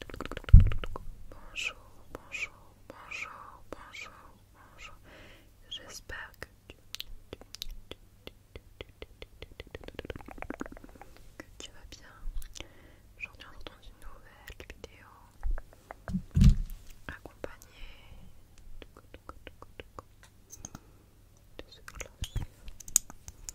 Bonjour, bonjour, bonjour, bonjour, bonjour. J'espère que tu, vas bien. Aujourd'hui, on est dans une nouvelle vidéo accompagnée de ce cloche.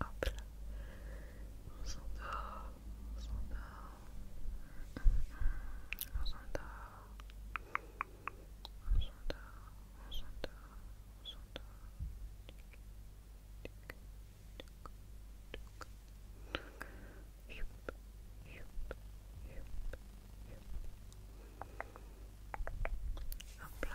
Hop là. On s'endort, on s'endort. On s'endort. On s'endort, on s'endort, on s'endort. Hop là.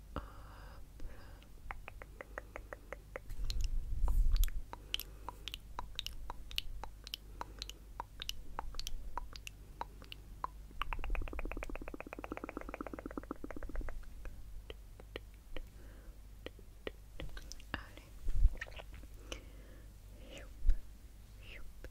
up. Allez. Youp, youp.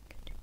Hop là.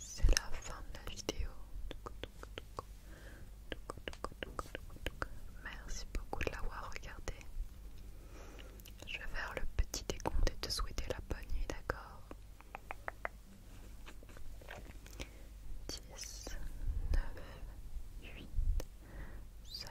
C'est la fin de la vidéo. Merci beaucoup de l'avoir regardé. Je vais faire le petit décompte et te souhaiter la bonne nuit, d'accord 10, 9, 8, 7,